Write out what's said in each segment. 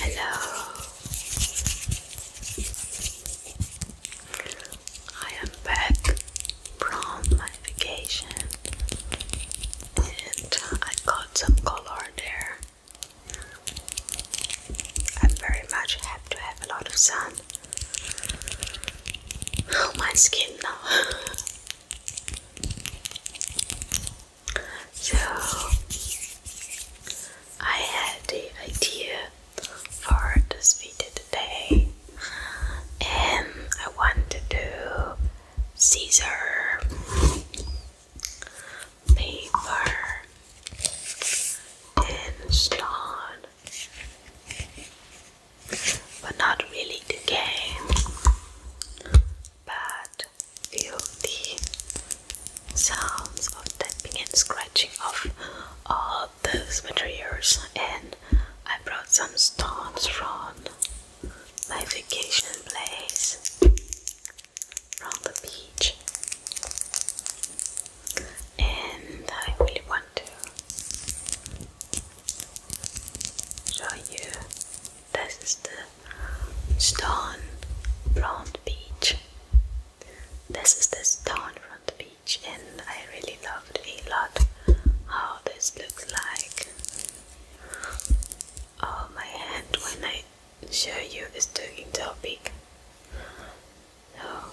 Hello. I am back from my vacation and I got some color there. i very much happy to have a lot of sun. Oh, my skin now. So I had the idea for this video today and I want to do scissor paper and stone but not really the game but feel the sounds of tapping and scratching of all those materials and I brought some stones from my vacation place from the beach and I really want to show you this is the stone front beach. This is the stone front beach, and I really loved a lot how this looks like. Oh, my hand when I show you is talking so big. Oh.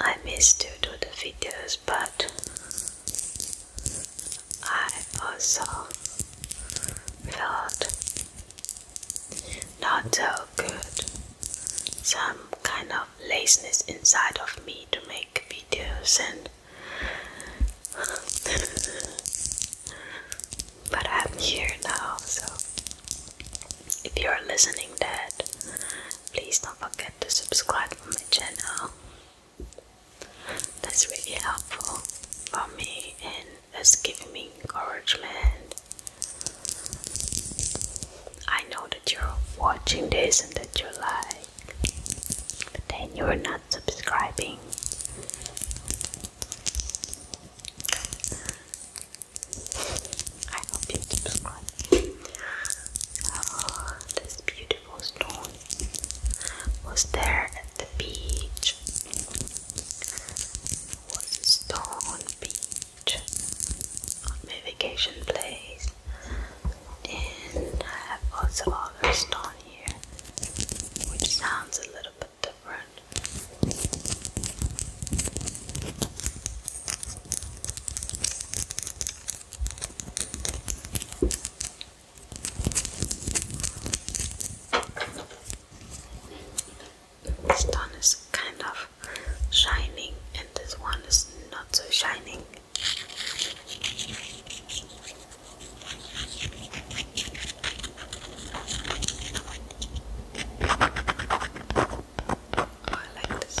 I miss to do the videos, but I also felt not so good. Some kind of laziness inside of me to make videos and but I'm here now so if you're listening that please don't forget to subscribe to my channel that's really helpful for me and it's giving me encouragement. I know that you're watching this and that you like, but then you're not subscribing. I hope you subscribe. Oh, this beautiful stone was there at the beach was a stone beach my vacation place and I have also other stone here which sounds a little bit different this one is kind of shining and this one is not so shining. Oh, I like this.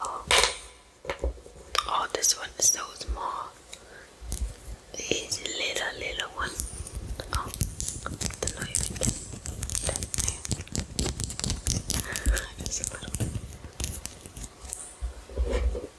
Oh. oh. this one is so small. It's a little, little one. Oh, the knife. That,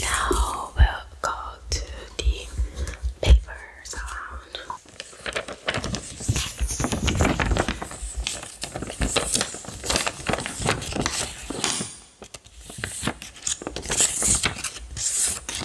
Now we to the paper sound.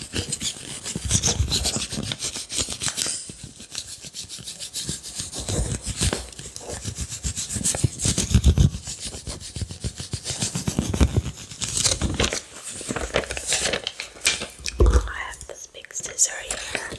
I have this big scissor here.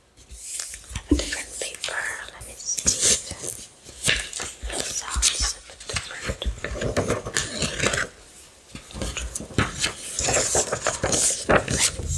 have a different paper. Let me see if it a different. Let's get this.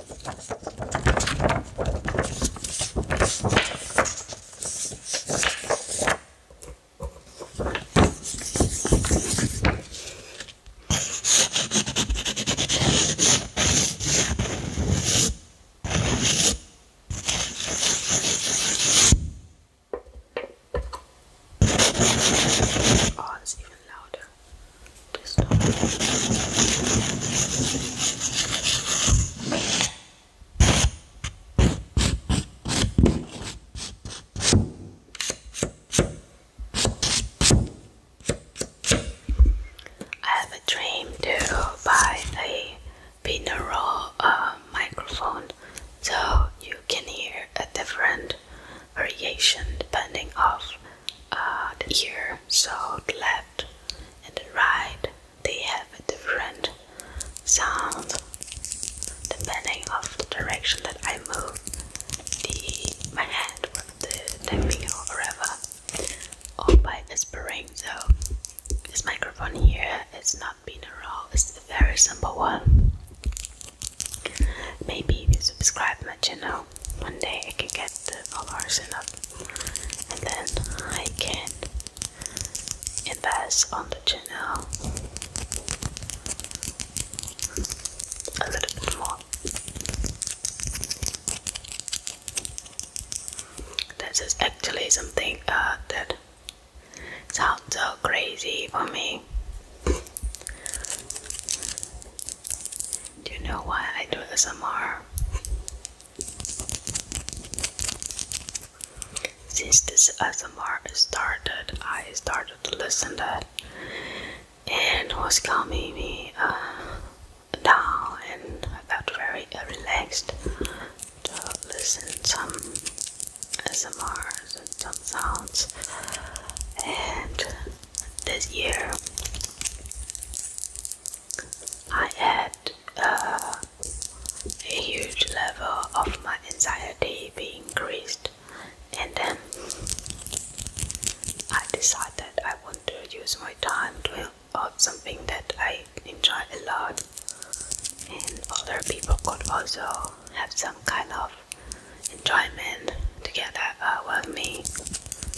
Oh, it's even louder. I have a dream to buy a binaural uh, microphone so you can hear a different variation depending of uh, the ear. So the left and right they have a different sound depending of the direction that I move the my hand with the tapping or whatever or by whispering so this microphone here is not binaural it's a very simple one maybe you subscribe my channel one day I can get the followers enough and then I can invest on the channel a little more. This is actually something uh, that sounds so crazy for me. Do you know why I do SMR? Since this SMR started, I started to listen to it and was calming me uh, down and I got very uh, relaxed to listen some SMRs and sounds and this year I had uh, a huge level of my anxiety being increased, and then I decided I want to use my time to help something that I enjoy a lot, and other people could also have some kind of enjoyment together uh, with me.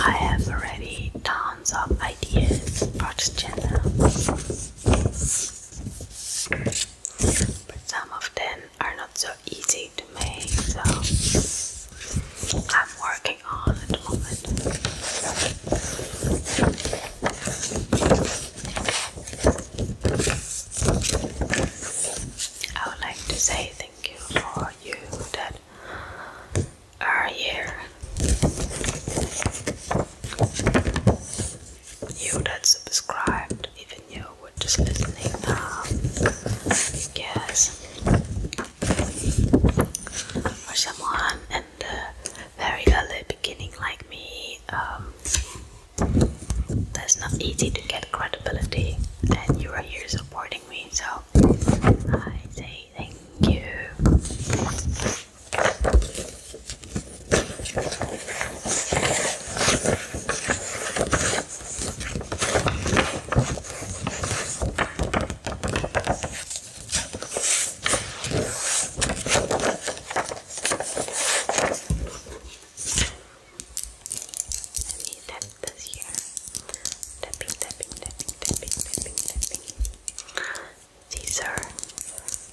I have already tons of ideas for this channel, but some of them are not so easy to make, so I'm working on at the moment. I would like to say thank you for you that are here. You that subscribed, even you were just listening now. Um, yes. For someone very early beginning like me, um, that's not easy to get credibility. And you are here supporting me, so I say thank you. Let me tap this here. Tapping, tapping, tapping, tapping, tapping, tapping. These are,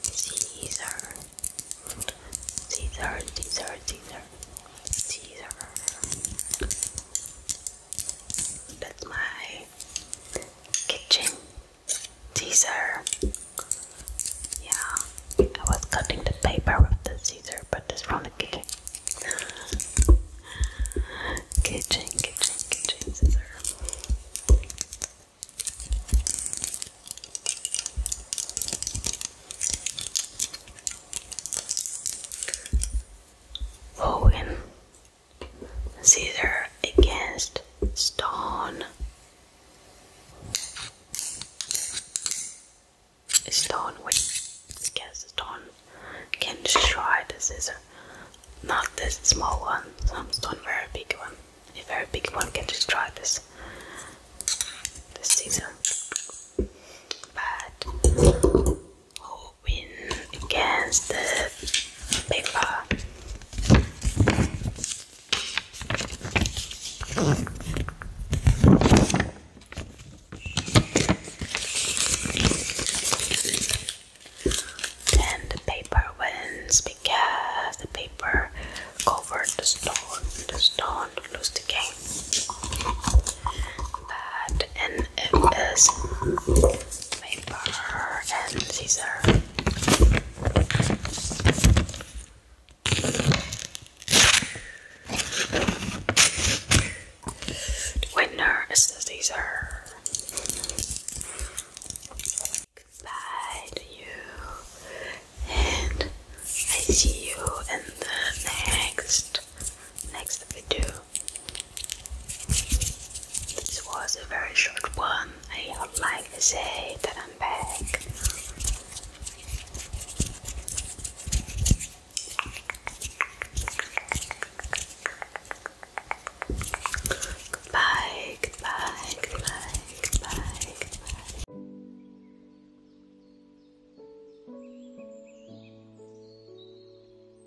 these are, these are, these are, these are, these are. That's my kitchen. Caesar. Yeah, I was cutting the paper with the Caesar, but it's from the kitchen. kitchen, kitchen, kitchen scissor. Woven Caesar against Stone. Stone, which against stone can destroy the scissor. Not this small one, some stone very big one. A very big one can destroy this this scissor. But who win against the paper. And the paper wins because the paper covered the stone. The stone lose the game. But in it is paper and scissor. The winner is the scissor. Goodbye you, and I see you in the next next video. This was a very short one. I would like to say that I'm back. Goodbye, goodbye, goodbye, goodbye, goodbye.